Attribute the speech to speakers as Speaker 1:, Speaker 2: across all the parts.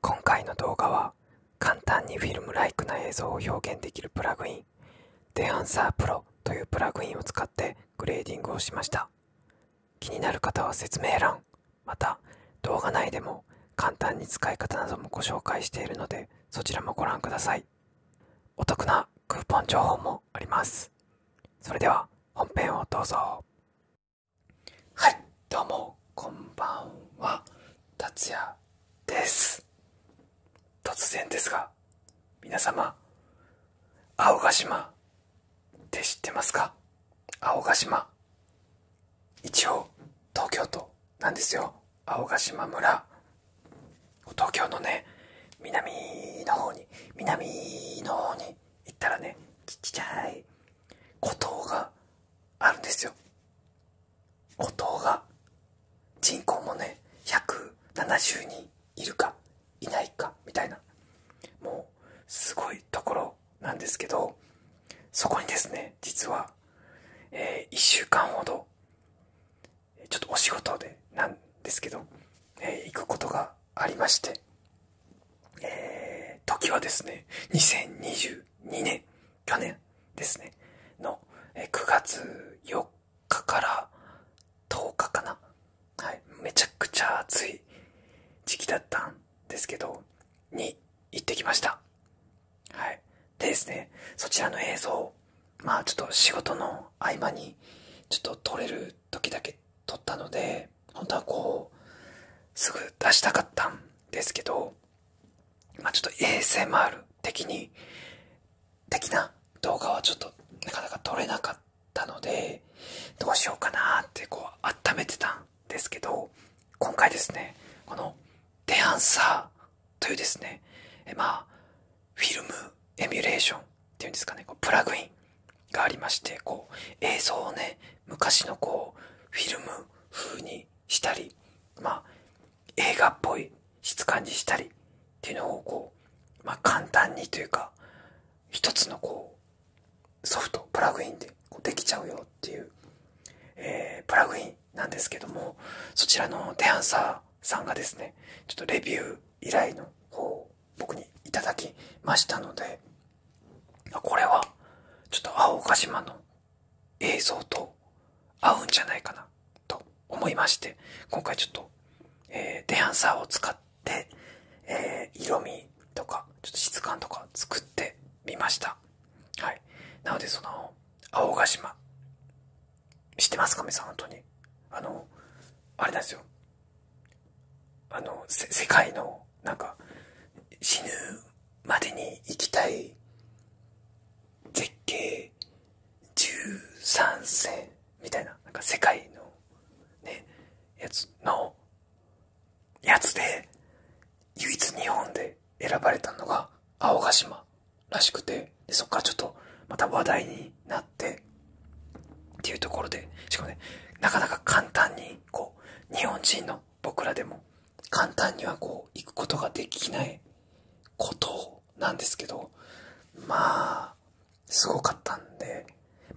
Speaker 1: 今回の動画は簡単にフィルムライクな映像を表現できるプラグインデアンサープロというプラグインを使ってグレーディングをしました気になる方は説明欄また動画内でも簡単に使い方などもご紹介しているのでそちらもご覧くださいお得なクーポン情報もありますそれでは本編をどうぞはいどうもこんばんは達也です突然ですが皆様青ヶ島って知ってますか青ヶ島一応東京都なんですよ青ヶ島村東京のね南の方に南の方に行ったらねちっちゃい孤島があるんですよ孤島が人口もね170人いるかいないかみたいなもうすごいところなんですけどそこにですね実は、え1週間ほどちょっとお仕事でなんですけど、え行くことがありまして、え時はですね2022年去年ですね、の9月4日から10日かな。はい、めちゃくちゃ暑い時期だったんですけど、に行ってきました。はい。でですね、そちらの映像、まあちょっと仕事の合間に、ちょっと撮れる時だけ撮ったので、本当はこう、すぐ出したかったんですけど、まあ、ちょっと a s m る的に、的な動画はちょっとなかなか撮れなかったので、どうしようかなってこう温めてたんですけど、今回ですね、このデハンサーというですね、えまあ、フィルムエミュレーションっていうんですかね、こうプラグインがありまして、こう映像をね、昔のこうフィルム風にしたり、ま映画っぽい質感にしたりっていうのをこま簡単にというか一つのこうソフトプラグインでこうできちゃうよっていう、えプラグインなんですけどもそちらのテアンサーさんがですねちょっとレビュー依頼の方を僕にいただきましたのでこれはちょっと青ヶ島の映像と合うんじゃないかなと思いまして今回ちょっと、えー、デアンサーを使って、え色味とかちょっと質感とか作ってみましたはいなのでその青ヶ島知ってますか皆さん本当にあのあれなんですよあの世界のなんか死ぬまでに行きたい絶景13世みたいななんか世界のねやつのやつで唯一日本で選ばれたのが青ヶ島らしくてでそっからちょっとまた話題になってっていうところでしかもねなかなか簡単にこう日本人の僕らでも簡単にはこう行くことができないことなんですけどまあすごかったんで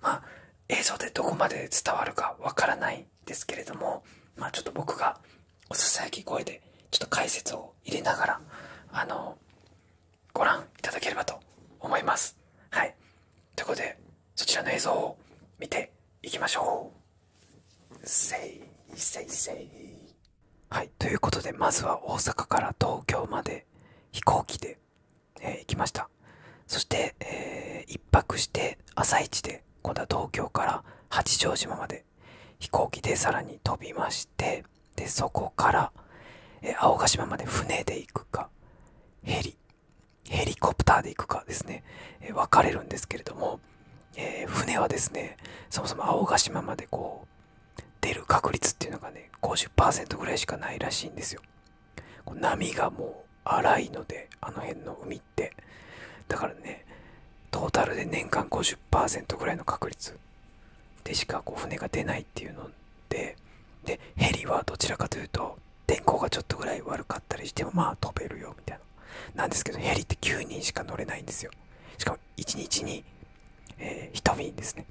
Speaker 1: まあ映像でどこまで伝わるかわからないですけれどもまあちょっと僕がおささやき声でちょっと解説を入れながらあのご覧いただければと思いますはいということでそちらの映像を見ていきましょうせいせいせいはいということでまずは大阪から東京まで飛行機で、え行きましたそして、え1泊して朝一で今度は東京から八丈島まで飛行機でさらに飛びましてでそこから、え青ヶ島まで船で行くかヘリヘリコプターで行くかですね、えー、分かれるんですけれども船はですね、そもそも青ヶ島までこう、出る確率っていうのがね、50%ぐらいしかないらしいんですよ。波がもう荒いので、あの辺の海って。だからね、トータルで年間50%ぐらいの確率でしか船が出ないっていうので、で、ヘリはどちらかというと、天候がちょっとぐらい悪かったりしても、まあ飛べるよみたいな。な。んですけど、ヘリって9人しか乗れないんですよ。しかも1日に、えー、1便ですね。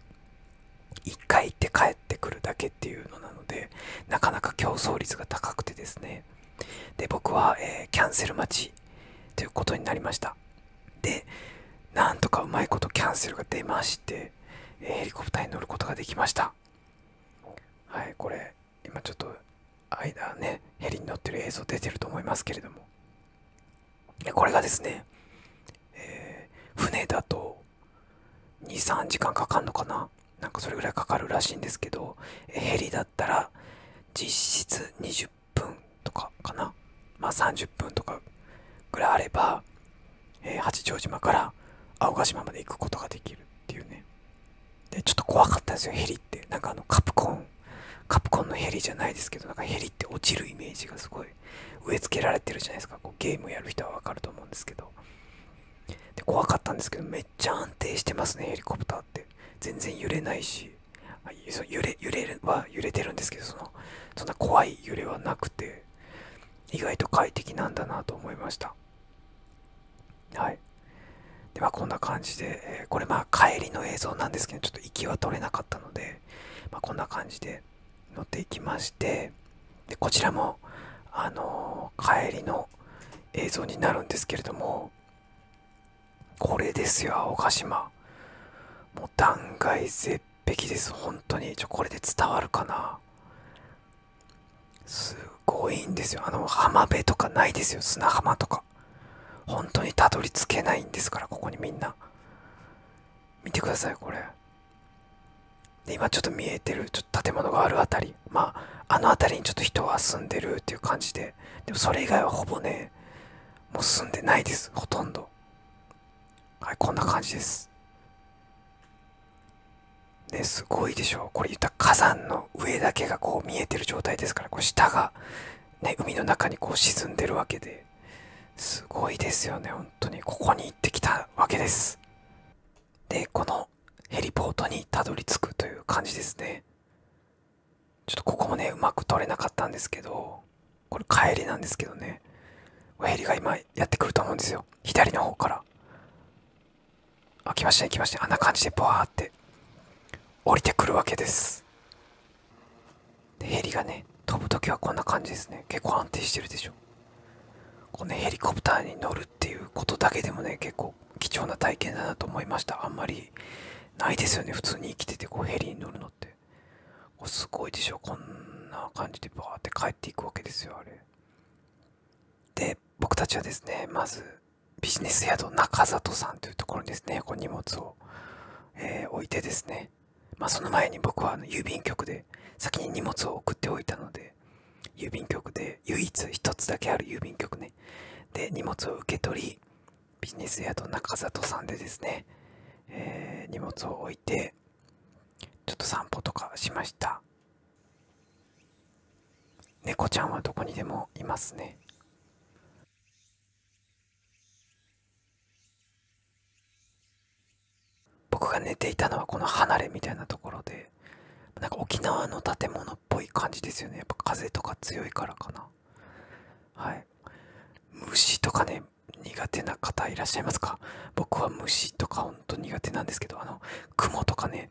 Speaker 1: 1回行って帰ってくるだけっていうのなので、なかなか競争率が高くてですね。で、僕は、えキャンセル待ちということになりました。で、なんとかうまいことキャンセルが出まして、えヘリコプターに乗ることができました。はい、これ、今ちょっと間ね、ヘリに乗ってる映像出てると思いますけれども、これがですね、船だと2、3時間かかるのかななんかそれぐらいかかるらしいんですけど、ヘリだったら実質20分とかかなま30分とかぐらいあれば、え八丈島から青ヶ島まで行くことができるっていうね。でちょっと怖かったんですよヘリってなんかあのカプコンカプコンのヘリじゃないですけどなんかヘリって落ちるイメージがすごい植え付けられてるじゃないですかこうゲームやる人は分かると思うんですけどで怖かったんですけどめっちゃ安定してますねヘリコプターって全然揺れないし揺れ揺れるは揺れてるんですけどそのそんな怖い揺れはなくて意外と快適なんだなと思いましたはいではこんな感じで、えこれまあ帰りの映像なんですけどちょっと息は取れなかったので、まこんな感じで乗っていきましてでこちらもあの帰りの映像になるんですけれどもこれですよ青ヶ島もう断崖絶壁です本当にちょこれで伝わるかなすごいんですよあの浜辺とかないですよ砂浜とか本当にたどり着けないんですからここにみんな見てくださいこれ今ちょっと見えてるちょっと建物がある辺りまああの辺りにちょっと人は住んでるっていう感じででもそれ以外はほぼねもう住んでないですほとんどはいこんな感じですねすごいでしょこれ言った火山の上だけがこう見えてる状態ですからこう下が、ね、海の中にこう沈んでるわけですごいですよね本当にここに行ってきたわけですでこのヘリポートにたどり着くという感じですねちょっとここもねうまく撮れなかったんですけどこれ帰りなんですけどねヘリが今やってくると思うんですよ左の方からあ来ましたね来ましたあんな感じでバーって降りてくるわけですでヘリがね飛ぶ時はこんな感じですね結構安定してるでしょこの、ヘリコプターに乗るっていうことだけでもね結構貴重な体験だなと思いましたあんまりないですよね普通に生きててこうヘリに乗るのってこうすごいでしょこんな感じでバーって帰っていくわけですよあれで僕たちはですねまずビジネス宿中里さんというところにですね、こう荷物を、え置いてですね、まその前に僕はあの郵便局で先に荷物を送っておいたので、郵便局で唯一一つだけある郵便局ね、で荷物を受け取り、ビジネス宿中里さんでですね、え荷物を置いて、ちょっと散歩とかしました。猫ちゃんはどこにでもいますね。僕が寝ていたのはこの離れみたいなところでなんか沖縄の建物っぽい感じですよねやっぱ風とか強いからかなはい虫とかね苦手な方いらっしゃいますか僕は虫とかほんと苦手なんですけどあの雲とかね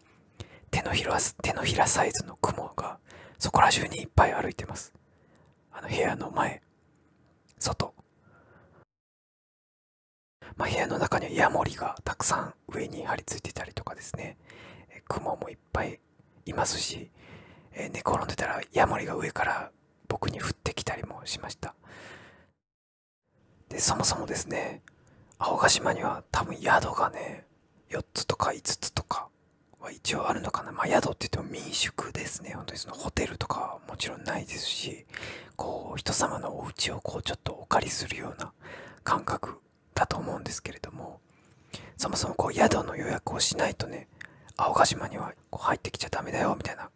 Speaker 1: 手のひら手のひらサイズの雲がそこら中にいっぱい歩いてますあの部屋の前外ま部屋の中にはヤモリがたくさん上に張り付いてたりとかですね、え雲もいっぱいいますし、え寝転んでたらヤモリが上から僕に降ってきたりもしましたでそもそもですね青ヶ島には多分宿がね4つとか5つとかは一応あるのかな、まあ、宿って言っても民宿ですね、本当にそのホテルとかはもちろんないですし、こう人様のお家をこうちょっとお借りするような感覚だと思うんですけれども、そもそもこう宿の予約をしないとね、青ヶ島にはこう入ってきちゃダメだよみたいな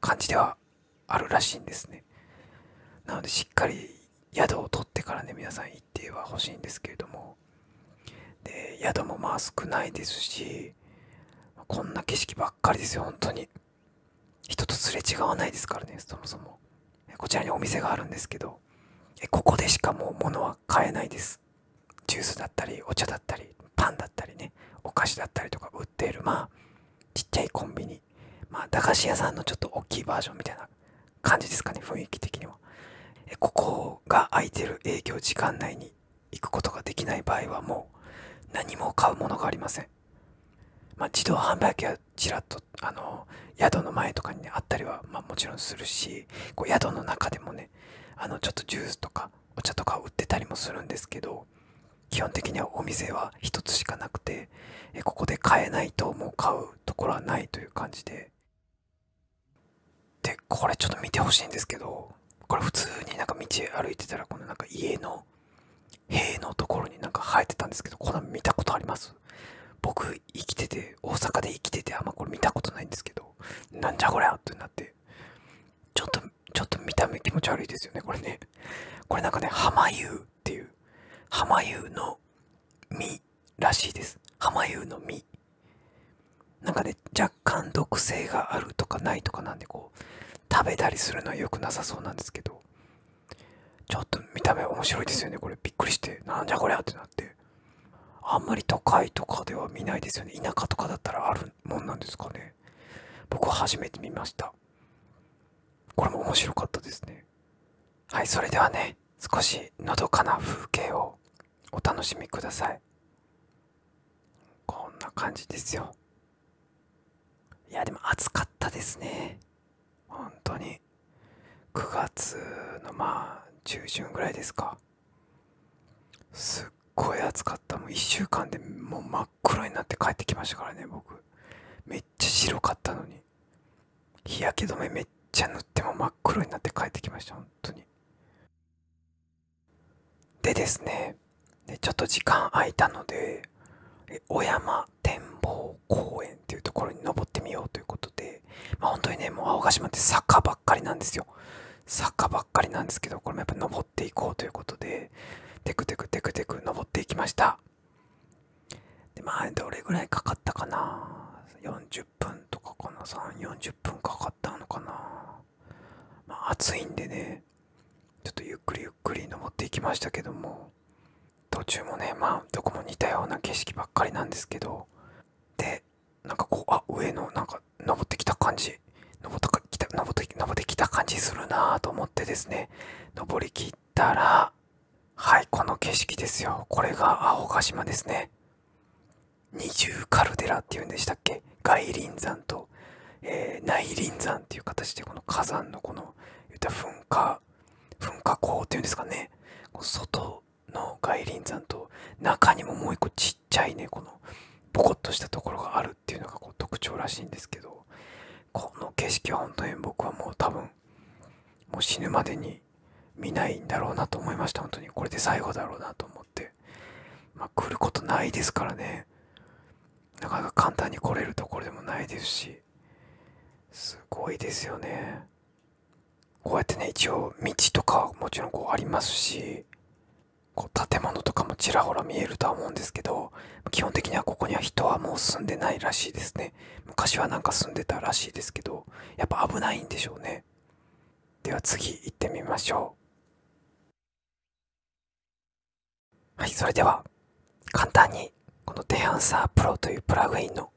Speaker 1: 感じではあるらしいんですね。なのでしっかり宿を取ってからね皆さん行っ日は欲しいんですけれどもで宿もまあ少ないですしこんな景色ばっかりですよ本当に人とすれ違わないですからねそもそもこちらにお店があるんですけどここでしかもう物は買えないですジュースだったりお茶だったりパンだったりねお菓子だったりとか売っているまあちっちゃいコンビニまあ駄菓子屋さんのちょっと大きいバージョンみたいな感じですかね雰囲気的にはここが空いてる営業時間内に行くことができない場合はもう何も買うものがありません、自動販売機はちらっと宿の前とかに、あったりは、もちろんするし宿の中でもねちょっとジュースとかお茶とか売ってたりもするんですけど基本的にはお店は一つしかなくてここで買えないともう買うところはないという感じででこれちょっと見てほしいんですけどこれ普通になんか道歩いてたらこのなんか家の塀のところになんか生えてたんですけどこの見たことあります僕生きてて大阪で生きててあんまこれ見たことないんですけどなんじゃこりゃってなってちょっとちょっと見た目気持ち悪いですよねこれねこれなんかね浜湯っていう浜湯の実らしいです浜湯の実なんかね若干毒性があるとかないとかなんでこう食べたりするのは良くなさそうなんですけどちょっと見た目面白いですよねこれびっくりしてなんじゃこりゃってなってあんまり都会とかでは見ないですよね田舎とかだったらあるもんなんですかね僕は初めて見ましたこれも面白かったですねはいそれではね少しのどかな風景をお楽しみくださいこんな感じですよいやでも暑かったですね本当に9月のまあ中旬ぐらいですかすっごい暑かったもう1週間でもう真っ黒になって帰ってきましたからね僕めっちゃ白かったのに日焼け止めめっちゃ塗っても真っ黒になって帰ってきました当に。でですね、でちょっと時間空いたので、小山展望公園っていうところに登ってみようということで、まあ、本当にね、もう青ヶ島って坂ばっかりなんですよ。坂ばっかりなんですけど、これもやっぱ登っていこうということで、テクテクテクテク登っていきました。で、まあ、どれぐらいかかったかな。40分とかかな。3、40 2分かかったのかな、暑いんでねちょっとゆっくりゆっくり登っていきましたけども途中もねまあどこも似たような景色ばっかりなんですけどでなんかこうあ上のなんか登ってきた感じ登ったかきた登って登ってきた感じするなと思ってですね登りきったらはいこの景色ですよこれが青ヶ島ですね二重カルデラっていうんでしたっけ外輪山と、え内輪山っていう形でこの火山のこの言った噴火噴火口っていうんですかね外の外輪山と中にももう一個ちっちゃいねこのボこっとしたところがあるっていうのがこう特徴らしいんですけどこの景色は本当に僕はもう多分もう死ぬまでに見ないんだろうなと思いました本当にこれで最後だろうなと思ってまあ来ることないですからねなかなか簡単に来れるところでもないですしすごいですよねこうやってね一応道とかもちろんこうありますしこう建物とかもちらほら見えるとは思うんですけど基本的にはここには人はもう住んでないらしいですね昔はなんか住んでたらしいですけどやっぱ危ないんでしょうねでは次行ってみましょうはいそれでは簡単にこのデハンサープロというプラグインの、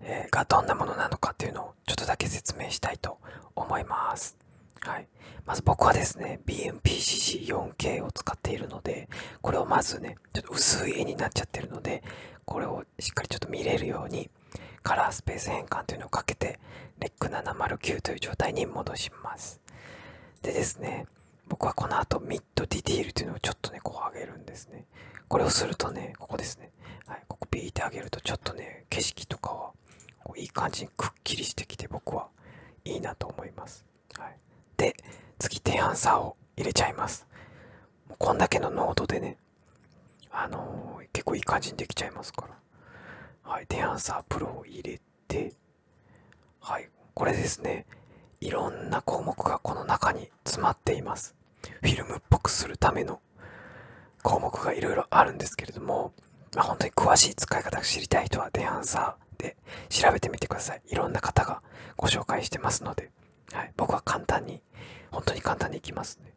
Speaker 1: えがどんなものなのかっていうのをちょっとだけ説明したいと思います。はい、まず僕はですね BMPCC4K を使っているのでこれをまずねちょっと薄い絵になっちゃってるのでこれをしっかりちょっと見れるようにカラースペース変換というのをかけて r ック7 0 9という状態に戻しますでですね僕はこの後ミッドディティールというのをちょっとねこう上げるんですねこれをするとねここですね、はい、ここピーって上げるとちょっとね景色とかはこういい感じにくっきりしてきて僕はいいなと思います、はい、で次低反差を入れちゃいますもうこんだけの濃度でねあの結構いい感じにできちゃいますから。はい。で、アンサープロを入れて、はい。これですね。いろんな項目がこの中に詰まっています。フィルムっぽくするための項目がいろいろあるんですけれども、まあ、本当に詳しい使い方知りたい人はデアンサーで調べてみてください。いろんな方がご紹介してますので、はい、僕は簡単に、本当に簡単にいきますね。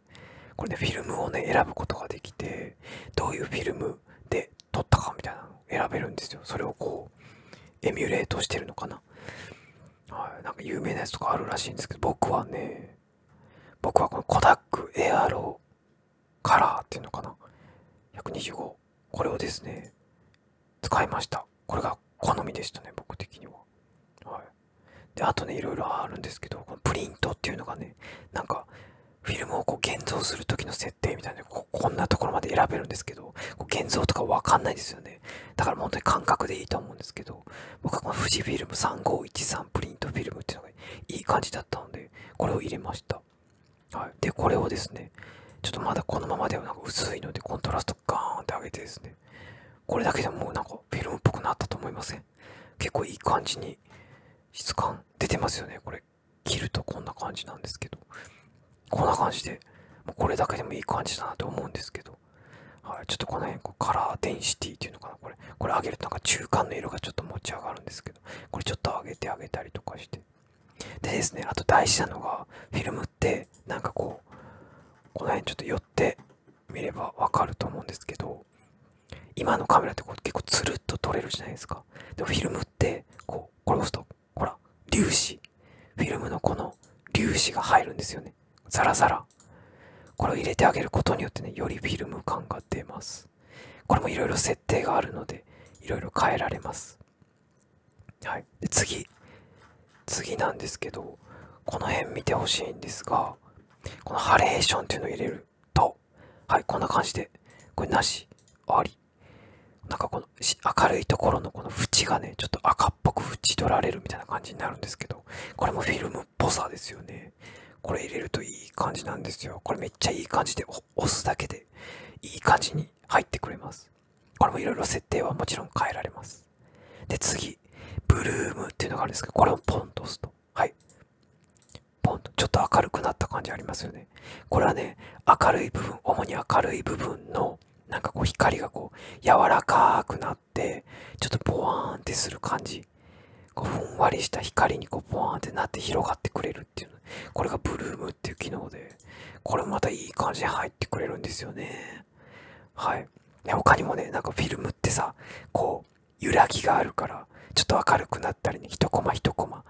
Speaker 1: これでフィルムをね、選ぶことができて、どういうフィルムで撮ったかみたいなの選べるんですよ。それをこう、エミュレートしてるのかな。はい、なんか有名なやつとかあるらしいんですけど、僕はね、僕はこのコダックエ AR カラーっていうのかな。125。これをですね、使いました。これが好みでしたね、僕的には。はい。であとねいろいろあるんですけどこのプリントっていうのがねなんかフィルムをこう現像する時の設定みたいなこんなところまで選べるんですけどこう現像とかわかんないですよねだから本当に感覚でいいと思うんですけど僕はこの富士フィルム3513プリントフィルムっていうのがいい感じだったのでこれを入れました、はい、でこれをですねちょっとまだこのままではなんか薄いのでコントラストガーンって上げてですねこれだけでもうなんかかベンっぽくなったと思いません結構いい感じに質感出てますよねこれ切るとこんな感じなんですけどこんな感じでもうこれだけでもいい感じだなと思うんですけど、はい、ちょっとこの辺こうカラーデンシティっていうのかなこれこれ上げるとなんか中間の色がちょっと持ち上がるんですけどこれちょっと上げてあげたりとかしてでですねあと大事なのがフィルムってなんかこうこの辺ちょっと寄ってみればわかると思うんですけど今のカメラってこう結構つるっと撮れるじゃないですかでもフィルムってこうこれ押すとほら粒子フィルムのこの粒子が入るんですよねザラザラこれを入れてあげることによってねよりフィルム感が出ますこれもいろいろ設定があるのでいろいろ変えられますはいで次次なんですけどこの辺見てほしいんですがこのハレーションっていうのを入れると、はい、こんな感じで、これなし、あり。なんかこの明るいところのこの縁がね、ちょっと赤っぽく縁取られるみたいな感じになるんですけど、これもフィルムっぽさですよね。これ入れるといい感じなんですよ。これめっちゃいい感じで押すだけでいい感じに入ってくれます。これもいろいろ設定はもちろん変えられます。で、次、ブルームっていうのがあるんですけど、これをポンと押すと。はいポンとちょっと明るくなった感じありますよねこれはね明るい部分主に明るい部分のなんかこう光がこう柔らかくなってちょっとボワーンってする感じこうふんわりした光にこうボワーンってなって広がってくれるっていうこれがブルームっていう機能でこれまたいい感じに入ってくれるんですよねはい他にもねなんかフィルムってさこう揺らぎがあるからちょっと明るくなったりね一コマ一コマ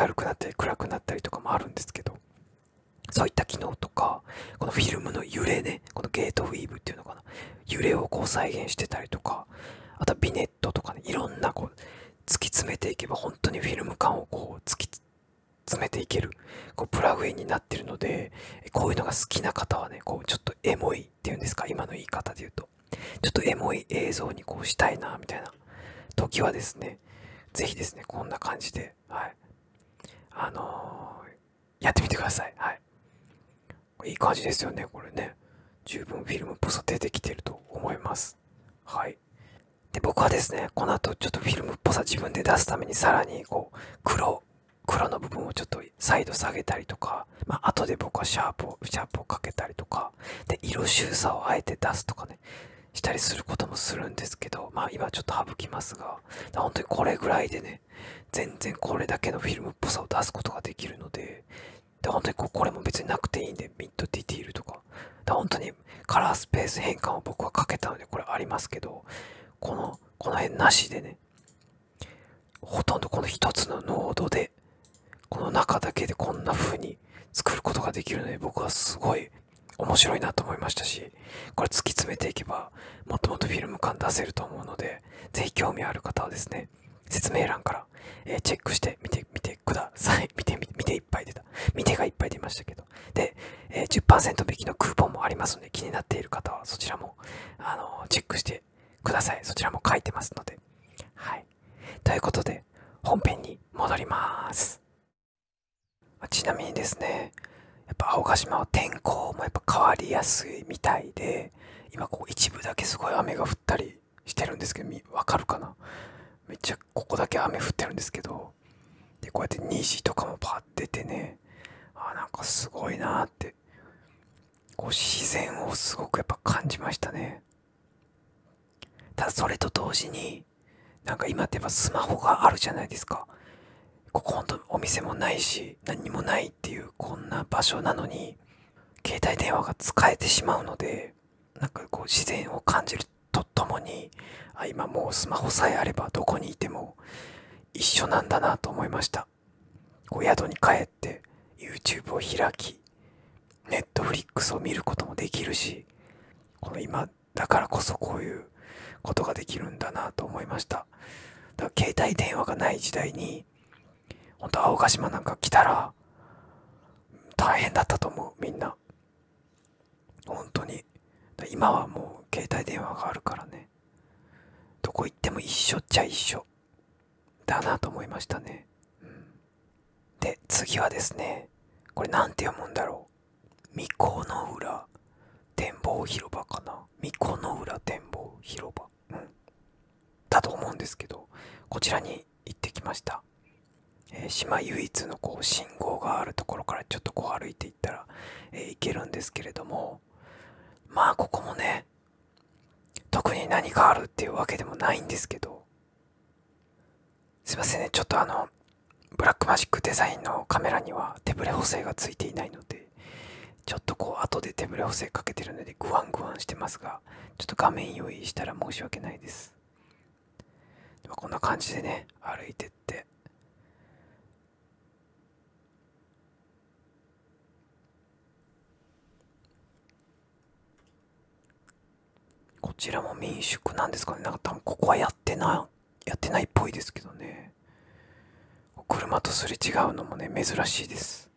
Speaker 1: 明るくなって暗くなったりとかもあるんですけどそういった機能とかこのフィルムの揺れねこのゲートウィーブっていうのかな揺れをこう再現してたりとかあとビネットとかねいろんなこう突き詰めていけば本当にフィルム感をこう突き詰めていけるこうプラグインになってるのでこういうのが好きな方はねこうちょっとエモいっていうんですか今の言い方で言うとちょっとエモい映像にこうしたいなみたいな時はですね是非ですねこんな感じではいあのやってみてくださいはいいい感じですよねこれね十分フィルムっぽさ出てきてると思いますはいで僕はですねこの後ちょっとフィルムっぽさ自分で出すためにさらにこう黒黒の部分をちょっと再度下げたりとか、まあ後で僕はシャープをシャープをかけたりとかで色収差をあえて出すとかねしたりすることもするんですけどまあ今ちょっと省きますが本当にこれぐらいでね全然これだけのフィルムっぽさを出すことができるのでで本当にこれも別になくていいんでミッドディティールとか本当にカラースペース変換を僕はかけたのでこれありますけどこのこの辺なしでねほとんどこの1つの濃度でこの中だけでこんな風に作ることができるので僕はすごい面白いなと思いましたしこれ突き詰めていけばもっともっとフィルム感出せると思うので是非興味ある方はですね説明欄から、えチェックして見てみてください 見て見ていっぱい出た見てがいっぱい出ましたけどで、え10%引きのクーポンもありますので気になっている方はそちらもあのチェックしてくださいそちらも書いてますのではいということで本編に戻りますちなみにですねやっぱ青ヶ島は天候もやっぱ変わりやすいみたいで今ここ一部だけすごい雨が降ったりしてるんですけどわかるかなめっちゃここだけ雨降ってるんですけどでこうやって虹とかもパッててねあなんかすごいなってこう自然をすごくやっぱ感じましたねただそれと同時になんか今ってやっぱスマホがあるじゃないですかここほんとお店もないし何もないっていうこんな場所なのに携帯電話が使えてしまうのでなんかこう自然を感じるとともにあ今もうスマホさえあればどこにいても一緒なんだなと思いましたお宿に帰って YouTube を開き Netflix を見ることもできるしこの今だからこそこういうことができるんだなと思いましただから携帯電話がない時代に本当青ヶ島なんか来たら大変だったと思うみんな本当に今はもう携帯電話があるからねどこ行っても一緒っちゃ一緒だなと思いましたね、うん、で次はですねこれ何て読むんだろう巫女の浦展望広場かな巫女の浦展望広場、うん、だと思うんですけどこちらに行ってきました、え島唯一のこう信号があるところからちょっとこう歩いていったら、え行けるんですけれどもまあここもね特に何かあるっていうわけでもないんですけどすいませんねちょっとあのブラックマジックデザインのカメラには手ぶれ補正がついていないのでちょっとこう後で手ぶれ補正かけてるのでグワングワンしてますがちょっと画面用意したら申し訳ないですでこんな感じでね歩いてってこちらも民宿なんですかねなんか多分ここはやってないやってないっぽいですけどね車とすれ違うのもね珍しいです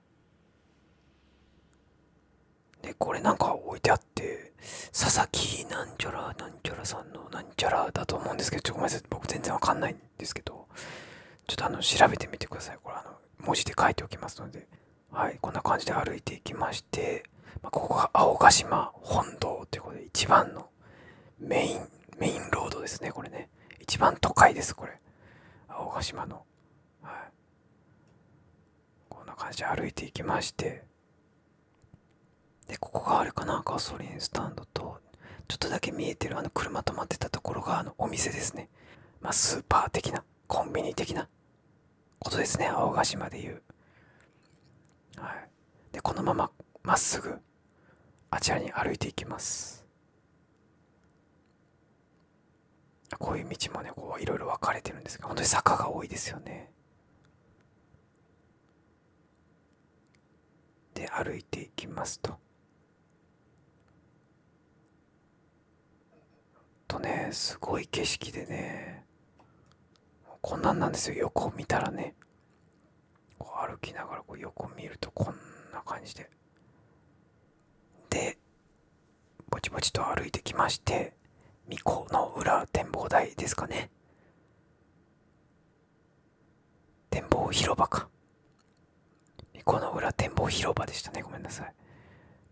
Speaker 1: でこれなんか置いてあって佐々木なんちゃらなんちゃらさんのなんちゃらだと思うんですけどちょっとごめんなさい僕全然わかんないんですけどちょっとあの調べてみてください。これあの文字で書いておきますので。はい、こんな感じで歩いていきまして、まここが青ヶ島本堂ってことで、一番のメイン、メインロードですね、これね。一番都会です、これ。青ヶ島の。はい。こんな感じで歩いていきまして、で、ここがあれかな、ガソリンスタンドと、ちょっとだけ見えてるあの車止まってたところがあのお店ですね。まあ、スーパー的なコンビニ的なことですね青ヶ島でいう、はい、でこのまままっすぐあちらに歩いていきますこういう道もねこういろいろ分かれてるんですが本当に坂が多いですよねで歩いていきますととねすごい景色でねこんなんなんですよ横見たらね歩きながらこう横見るとこんな感じででぼちぼちと歩いてきまして巫女の裏展望台ですかね展望広場かこの裏展望広場でしたね。ごめんなさい。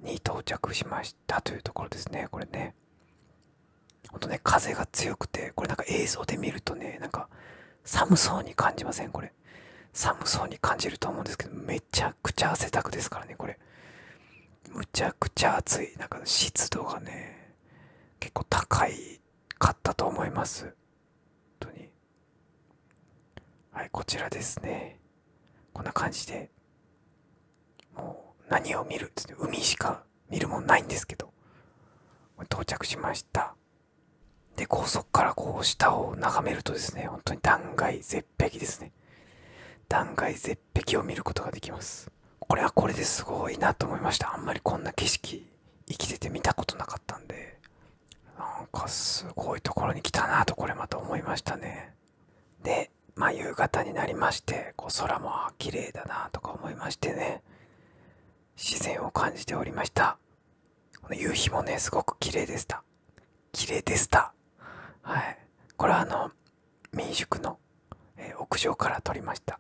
Speaker 1: に到着しましたというところですね。これね。ほんとね、風が強くて、これなんか映像で見るとね、なんか寒そうに感じませんこれ。寒そうに感じると思うんですけど、めちゃくちゃ汗だくですからね、これ。むちゃくちゃ暑い。なんか湿度がね、結構高いかったと思います。本当に。はいこちらですねこんな感じでもう何を見るつって海しか見るもんないんですけど到着しましたで高速からこう下を眺めるとですね本当に断崖絶壁ですね断崖絶壁を見ることができますこれはこれですごいなと思いましたあんまりこんな景色生きてて見たことなかったんでなんかすごいところに来たなとこれまた思いましたねでま夕方になりましてこう空も綺麗だなとか思いましてね自然を感じておりましたこの夕日もねすごく綺麗でした綺麗でしたはいこれはあの民宿の、え屋上から撮りました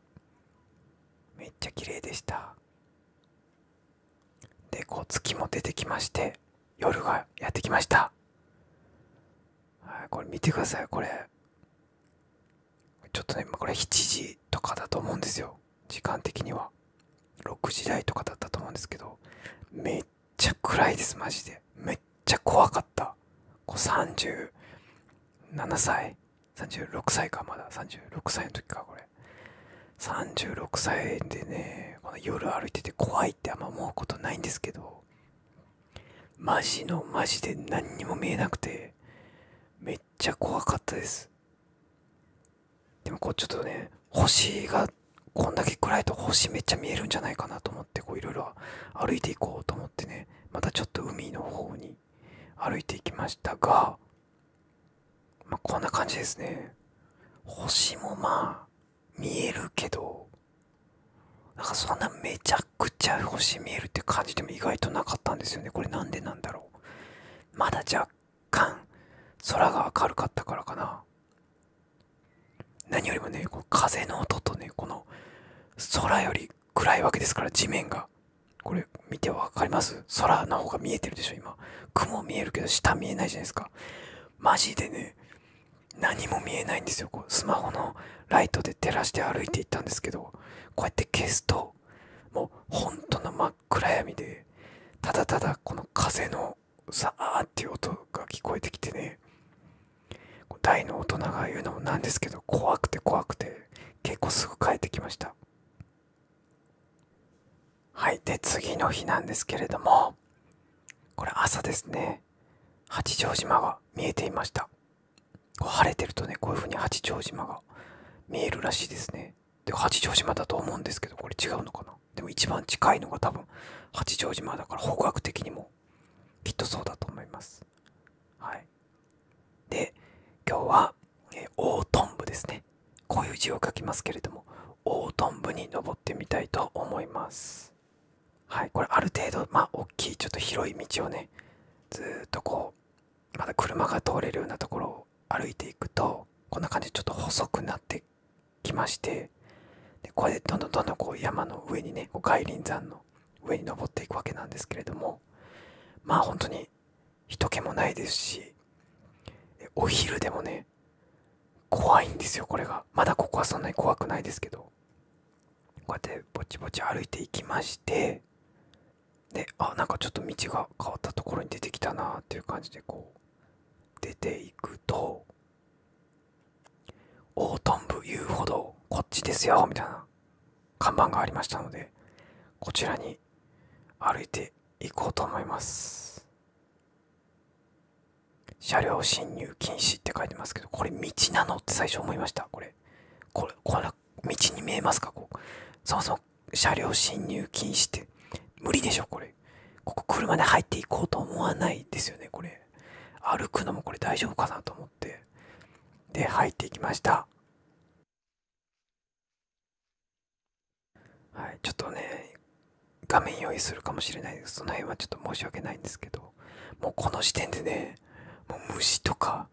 Speaker 1: めっちゃ綺麗でしたでこう月も出てきまして夜がやってきましたはいこれ見てくださいこれちょっとね今これ7時とかだと思うんですよ時間的には6時台とかだったと思うんですけどめっちゃ暗いですマジでめっちゃ怖かったこう37歳36歳かまだ36歳の時かこれ36歳でねこの夜歩いてて怖いってあんま思うことないんですけどマジのマジで何にも見えなくてめっちゃ怖かったですでもこうちょっとね星がこんだけ暗いと星めっちゃ見えるんじゃないかなと思ってこういろいろ歩いていこうと思ってねまたちょっと海の方に歩いていきましたが、まこんな感じですね星もまあ見えるけどなんかそんなめちゃくちゃ星見えるって感じでも意外となかったんですよねこれなんでなんだろうまだ若干空が明るかったからかな何よりもねこう風の音とねこの空より暗いわけですから地面がこれ見て分かります空の方が見えてるでしょ今雲見えるけど下見えないじゃないですかマジでね何も見えないんですよこうスマホのライトで照らして歩いていったんですけどこうやって消すともう本当の真っ暗闇でただただこの風のさーっていう音が聞こえてきてね大の大人が言うのもなんですけど怖くて怖くて結構すぐ帰ってきましたはいで次の日なんですけれどもこれ朝ですね八丈島が見えていましたこう晴れてるとねこういう風に八丈島が見えるらしいですねで八丈島だと思うんですけどこれ違うのかなでも一番近いのが多分八丈島だから方角的にもきっとそうだと思いますはいで今日は、え大トンですねこういう字を書きますけれども大トンに登ってみたいと思いますはいこれある程度まあ大きいちょっと広い道をねずっとこうまだ車が通れるようなところを歩いていくとこんな感じでちょっと細くなってきましてでこれでどんどんどんどんこう山の上にねこう外輪山の上に登っていくわけなんですけれどもまあ本当に人気もないですしお昼でもね怖いんですよこれがまだここはそんなに怖くないですけどこうやってぼちぼち歩いていきましてであなんかちょっと道が変わったところに出てきたなっていう感じでこう出ていくと大トン遊歩道こっちですよみたいな看板がありましたのでこちらに歩いていこうと思います車両進入禁止って書いてますけどこれ道なのって最初思いましたこれこれの道に見えますかこうそもそも車両進入禁止って無理でしょこれここ車で入っていこうと思わないですよねこれ歩くのもこれ大丈夫かなと思ってで入っていきましたはいちょっとね画面用意するかもしれないですその辺はちょっと申し訳ないんですけどもうこの時点でねもう虫とか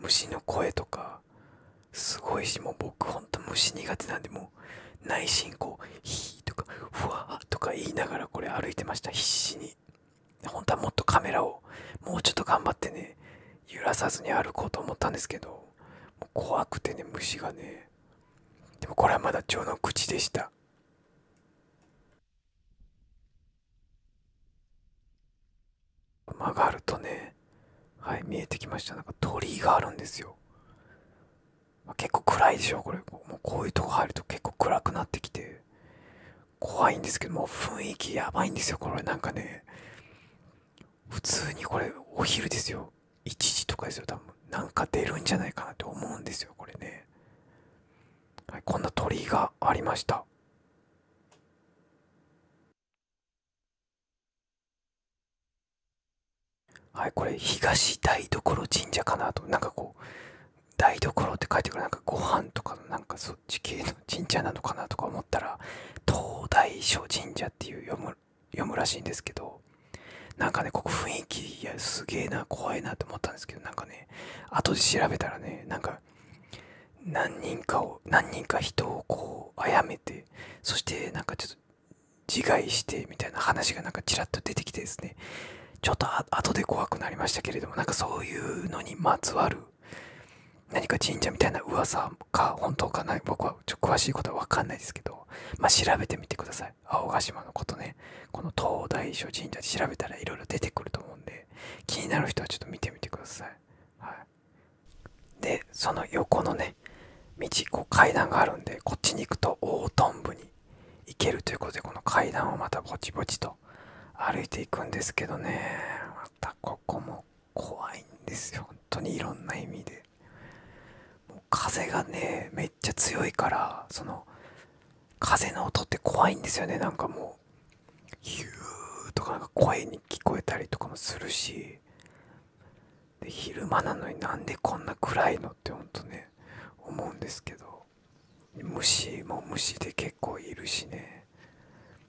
Speaker 1: 虫の声とかすごいしもう僕ほんと虫苦手なんでもう内心こう「ヒー」とか「ふわー」とか言いながらこれ歩いてました必死に本当はもっとカメラをもうちょっと頑張ってね揺らさずに歩こうと思ったんですけどもう怖くてね虫がねでもこれはまだ序の口でした曲がるとねはい見えてきましたなんか鳥居があるんですよ結構暗いでしょこれもうこういうとこ入ると結構暗くなってきて怖いんですけども雰囲気やばいんですよこれなんかね普通にこれお昼ですよ1時とかですよ多分なんか出るんじゃないかなと思うんですよこれね、はい、こんな鳥居がありましたはいこれ東台所神社かなとなんかこう台所って書いてくるなんかご飯とかのなんかそっち系の神社なのかなとか思ったら東大所神社っていう読む読むらしいんですけどなんかね、ここ雰囲気、いや、すげえな、怖いなと思ったんですけど、なんかね、後で調べたらね、なんか、何人かを、何人か人をこう、殺めて、そしてなんかちょっと、自害してみたいな話がなんかちらっと出てきてですね、ちょっと後で怖くなりましたけれども、なんかそういうのにまつわる、何か神社みたいな噂か本当かな僕はちょっと詳しいことは分かんないですけど、ま調べてみてください。青ヶ島のことねこの東大所神社で調べたらいろいろ出てくると思うんで気になる人はちょっと見てみてください、はい、でその横のね道こう階段があるんでこっちに行くと大トン部に行けるということでこの階段をまたぼちぼちと歩いていくんですけどねまたここも怖いんですよ本当にいろんな意味で風がねめっちゃ強いからその風の音って怖いんですよねなんかもうヒューとかなんか声に聞こえたりとかもするしで昼間なのになんでこんな暗いのってほんとね思うんですけど虫も虫で結構いるしね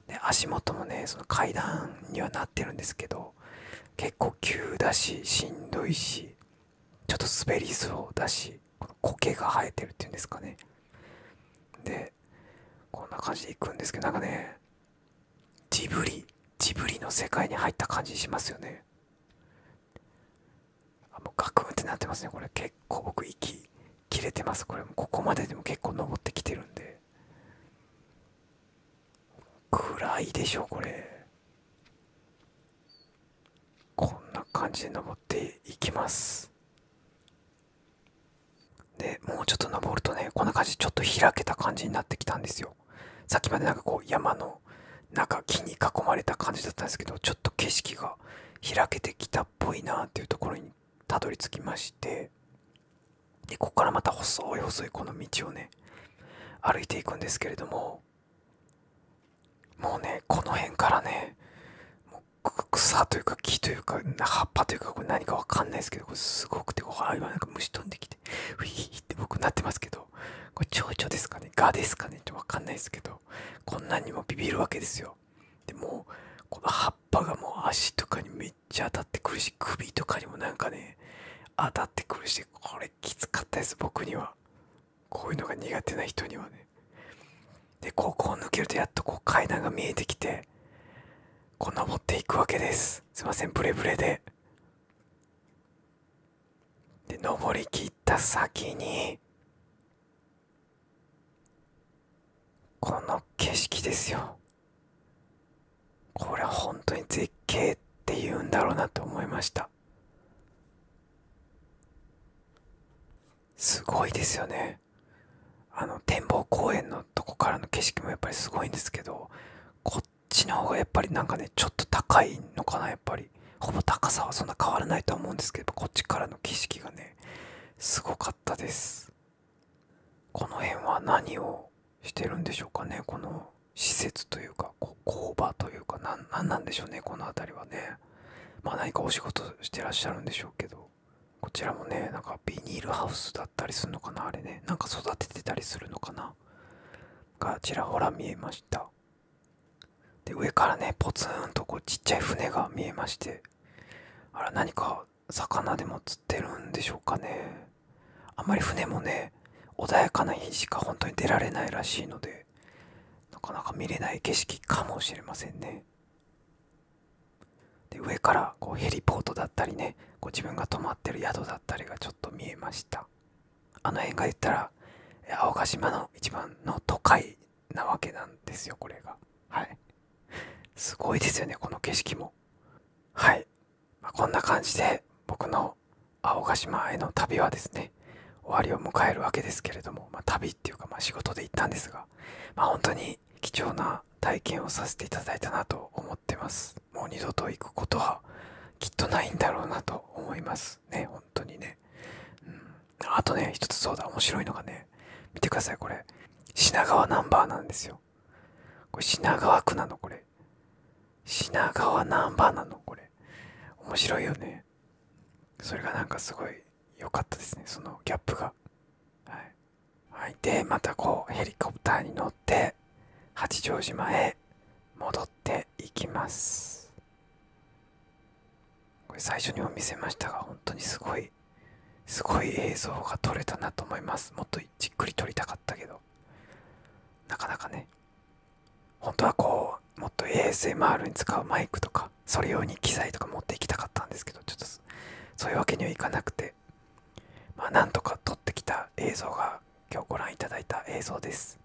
Speaker 1: で足元もねその階段にはなってるんですけど結構急だししんどいしちょっと滑りそうだしこの苔が生えてるっていうんですかねでこんな感じで行くんですけどなんかねジブリジブリの世界に入った感じしますよねあもうガクンってなってますねこれ結構僕息切れてますこれもここまででも結構登ってきてるんで暗いでしょこれこんな感じで登っていきますでもうちょっと登るとねこんな感じちょっと開けた感じになってきたんですよさっきまでなんかこう山の中木に囲まれた感じだったんですけどちょっと景色が開けてきたっぽいなっていうところにたどり着きましてでこっからまた細い細いこの道をね歩いていくんですけれどももうねこの辺からねもう草というか木というか葉っぱというかこれ何かわかんないですけどこれすごくてこう今なんか虫飛んできてフィーって僕なってますけどこれ蝶々ですかねガですかねってわかんないですけどこんなにもビビるわけですよでもこの葉っぱがもう足とかにめっちゃ当たってくるし首とかにもなんかね当たってくるしこれきつかったです僕にはこういうのが苦手な人にはねでここを抜けるとやっとこう階段が見えてきてこう登っていくわけですすいませんブレブレでで登りきった先にこの景色ですよこれは本当に絶景って言うんだろうなと思いましたすごいですよねあの展望公園のとこからの景色もやっぱりすごいんですけどこっちの方がやっぱりなんかねちょっと高いのかなやっぱりほぼ高さはそんな変わらないとは思うんですけどこっちからの景色がねすごかったですこの辺は何をしてるんでしょうかねこの施設というかこう工場というか何なんでしょうねこの辺りはねまあ何かお仕事してらっしゃるんでしょうけどこちらもねなんかビニールハウスだったりするのかなあれねなんか育ててたりするのかながちらほら見えましたで上からねぽつんとこうちっちゃい船が見えましてあら何か魚でも釣ってるんでしょうかねあんまり船もね穏やかな日しか本当に出られないらしいのでなかなか見れない景色かもしれませんねで上からこうヘリポートだったりねこ自分が泊まってる宿だったりがちょっと見えましたあの辺が言ったら青ヶ島の一番の都会なわけなんですよこれがはいすごいですよねこの景色もはい、まこんな感じで僕の青ヶ島への旅はですね終わりを迎えるわけですけれども、ま旅っていうかまあ仕事で行ったんですが、ま本当に貴重な体験をさせていただいたなと思ってますもう二度と行くことはきっとないんだろうなと思いますね本当にね、うん、あとね一つそうだ面白いのがね見てくださいこれ品川ナンバーなんですよこれ品川区なのこれ品川ナンバーなのこれ面白いよねそれがなんかすごい良かったですねそのギャップがはい、はい、でまたこうヘリコプターに乗って八丈島へ戻っていきますこれ最初にも見せましたが本当にすごいすごい映像が撮れたなと思いますもっとじっくり撮りたかったけどなかなかね本当はこうもっと ASMR に使うマイクとかそれ用に機材とか持っていきたかったんですけどちょっとそういうわけにはいかなくてまあなんとか撮ってきた映像が今日ご覧いただいた映像です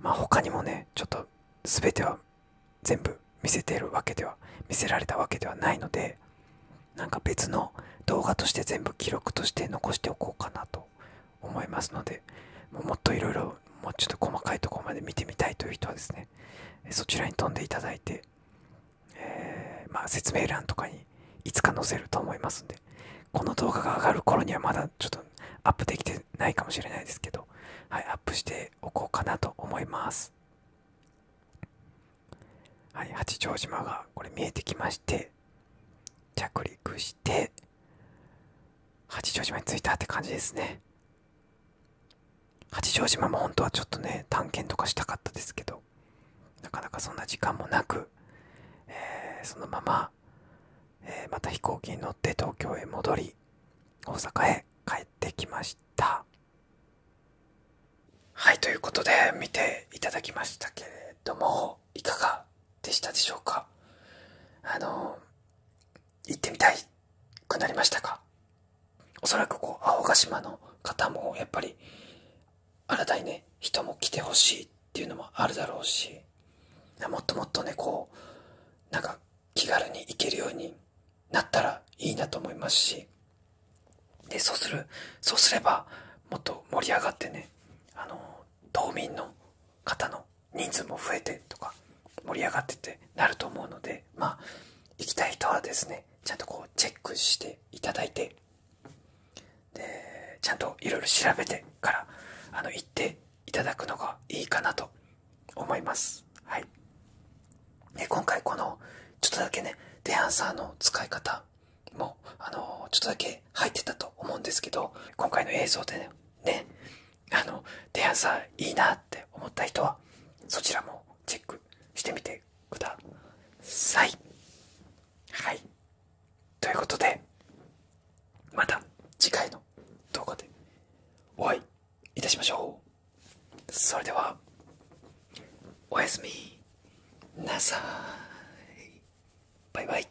Speaker 1: まあ他にもねちょっと全ては全部見せてるわけでは見せられたわけではないのでなんか別の動画として全部記録として残しておこうかなと思いますのでもっといろいろもうちょっと細かいところまで見てみたいという人はですねそちらに飛んでいただいて、えま説明欄とかにいつか載せると思いますんでこの動画が上がる頃にはまだちょっとアップできてないかもしれないですけど、はい、アップしておこうかなと思います。はい、八丈島がこれ見えてきまして着陸して八丈島に着いたって感じですね八丈島も本当はちょっとね探検とかしたかったですけどなかなかそんな時間もなく、えそのまま、えまた飛行機に乗って東京へ戻り大阪へ帰ってきましたはいということで見ていただきましたけれどもいかがでしたでしょうかあの行ってみたいくなりましたかおそらくこう青ヶ島の方もやっぱり新たにね人も来てほしいっていうのもあるだろうしもっともっとねこうなんか気軽に行けるようになったらいいなと思いますしでそうするそうすればもっと盛り上がってねあの道民の方の人数も増えてとか盛り上がってってなると思うのでまあ行きたい人はですねちゃんとこうチェックしていただいてでちゃんといろいろ調べてからあの行っていただくのがいいかなと思いますはいで今回このちょっとだけねデアンサーの使い方もあのちょっとだけ入ってたと思うんですけど今回の映像でねあの提案さいいなって思った人はそちらもチェックしてみてください。はいということでまた次回の動画でお会いいたしましょう。それではおやすみなさい。バイバイ。